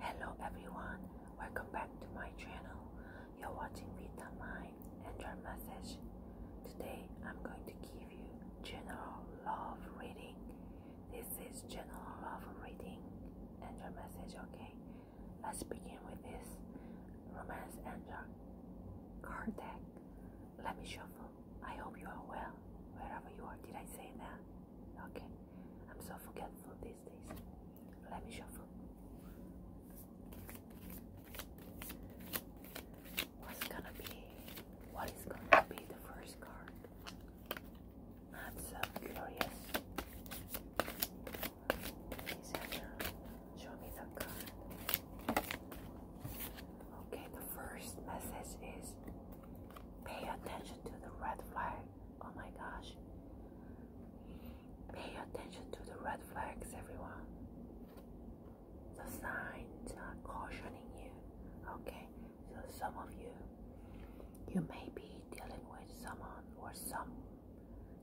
Hello everyone, welcome back to my channel. You're watching Vita Mind and message. Today I'm going to give you general love reading. This is general love reading and your message, okay? Let's begin with this romance and your card deck. Let me shuffle. I hope you are well wherever you are. Did I say that? Okay, I'm so forgetful these days. Let me shuffle. What's gonna be? What is gonna be the first card? I'm so curious. Please show me the card. Okay, the first message is Pay attention to the red flag. Oh my gosh. Pay attention to the red flags, everyone. The signs are cautioning you. Okay, so some of you, you may be dealing with someone or some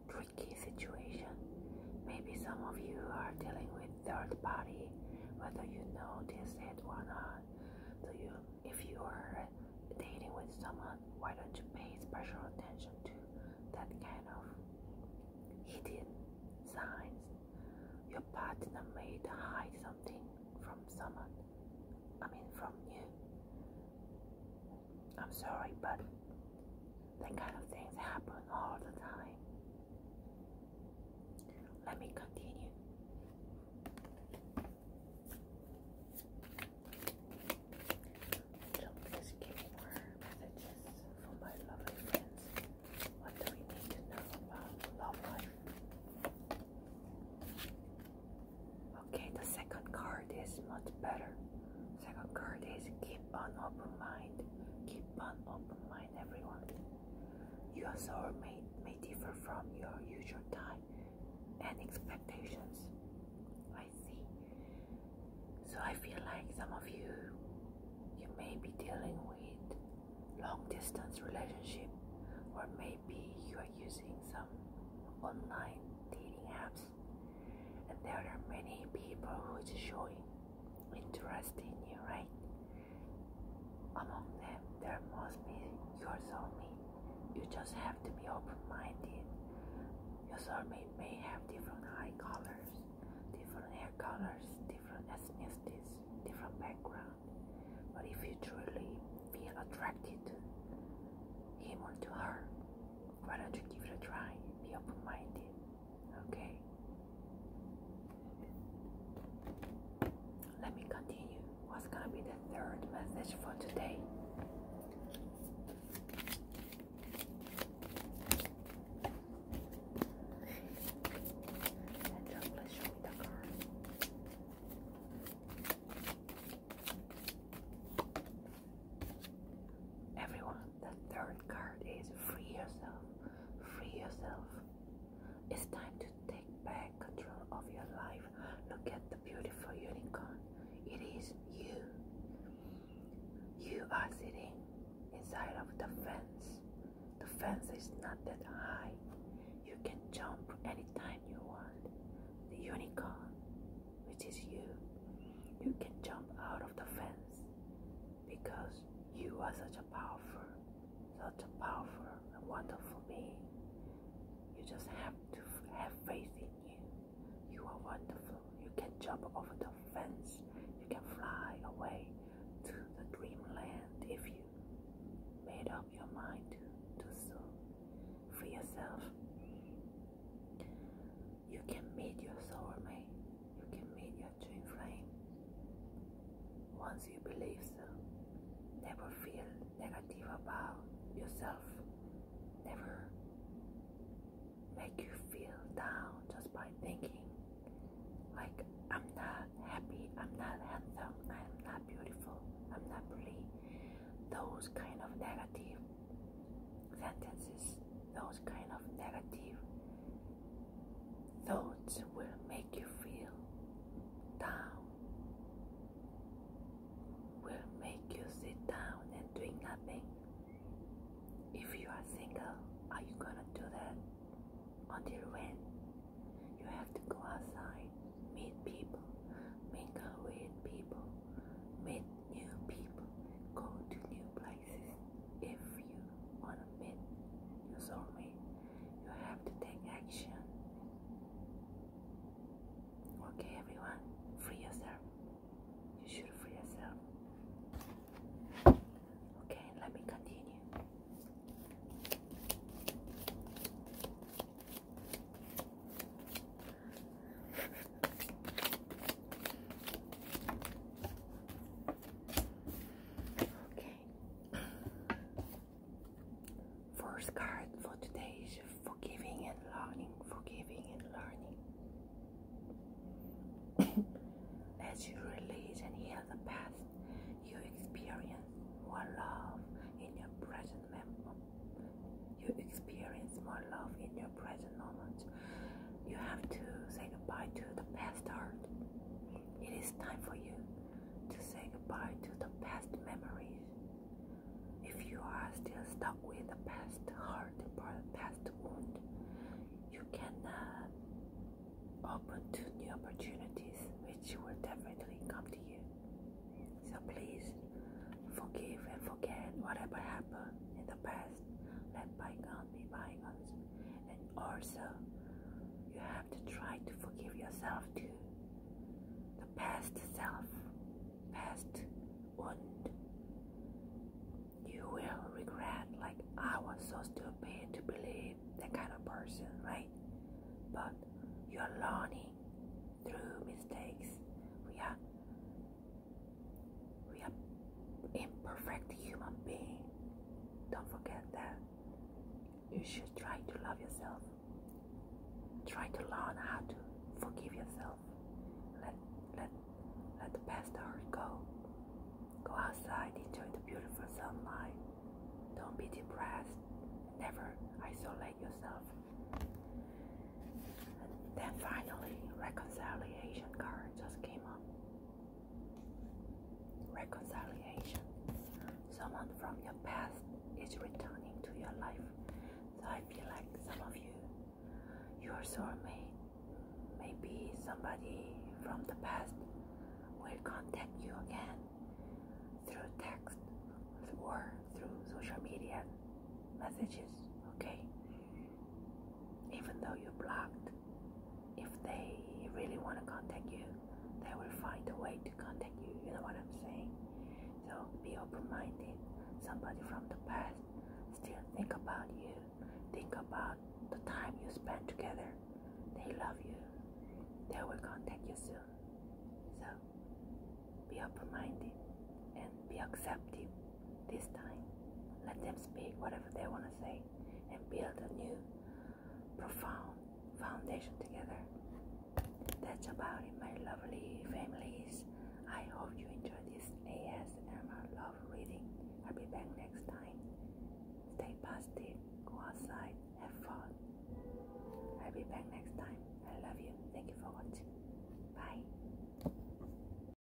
tricky situation. Maybe some of you are dealing with third party, whether you notice it or not. So you, if you are dating with someone, why don't you pay special attention to that kind of hidden signs? Your partner may hide something from someone. I mean, from you. I'm sorry, but that kind of things happen all the time. Let me continue. So please more messages for my lovely friends. What do we need to know about love life? Okay, the second card is much better. Second card is keep an open mind. Keep an open mind, everyone. Your sorrow may, may differ from your usual time and expectations. I see. So I feel like some of you, you may be dealing with long distance relationship or maybe you are using some online dating apps and there are many people who is showing interest in you, right? Among them, there must be your soulmate. You just have to be open minded. Your soulmate may have different eye colors, different hair colors, different ethnicities, different background. But if you truly feel attracted to him or to her, why don't you give it a try? Be open minded, okay? Let me continue. What's going to be the third message for today? Everyone, the third card is free yourself. Free yourself. It's time to take back control of your life. Look at the beautiful unicorn. It is you. You are sitting inside of the fence. The fence is not that high. You can jump anytime you want. The unicorn, which is you, you can jump out of the fence because you are such a powerful, such a powerful and wonderful being. You just have to have faith in you. You are wonderful. You can jump over the fence. You can fly away to the dreamland if you made up your mind to do so for yourself. You can meet your soulmate you can meet your twin flame. Once you believe so, never feel negative about yourself. Never make you feel down just by thinking like I'm not happy, I'm not handsome, I'm not beautiful, I'm not pretty. Those kind of negative sentences, those kind of negative Thoughts will make you feel down, will make you sit down and doing nothing. If you are single, are you gonna do that? Until when? You have to go outside, meet people, mingle with people, meet new people, go to new places if you want to meet your soulmate, you have to take action. Okay, everyone, free yourself. You should free yourself. Okay, let me continue. Okay. First card for today is forgiving and learning, forgiving and learning. As you release and heal the past, you experience more love in your present moment. You experience more love in your present moment. You have to say goodbye to the past hurt. It is time for you to say goodbye to the past memories. If you are still stuck with the past hurt or past wound, you cannot open to new opportunities which will definitely come to you. So please forgive and forget whatever happened in the past. Let bygones be bygones and also you have to try to forgive yourself too the past self past wound you will regret like i was so stupid to believe that kind of person right but you're learning through mistakes we are we are imperfect human beings. Don't forget that. You should try to love yourself. Try to learn how to forgive yourself. Let let let the past hurt go. Go outside, enjoy the beautiful sunlight. Don't be depressed. Never isolate yourself. And then finally, reconciliation card just came up reconciliation. Someone from your past is returning to your life. So I feel like some of you, your soul soulmate, maybe somebody from the past will contact you again through text or through social media messages, okay? even though you're blocked. If they really want to contact you, they will find a way to contact you. You know what I'm saying? So be open minded. Somebody from the past still think about you, think about the time you spent together. They love you, they will contact you soon. So be open minded and be accepting this time, let them speak whatever they want to say and build a new, profound foundation together. That's about it, my lovely families. I hope you enjoyed this AS ASMR love reading. I'll be back next time. Stay positive, go outside, have fun. I'll be back next time. I love you. Thank you for watching. Bye.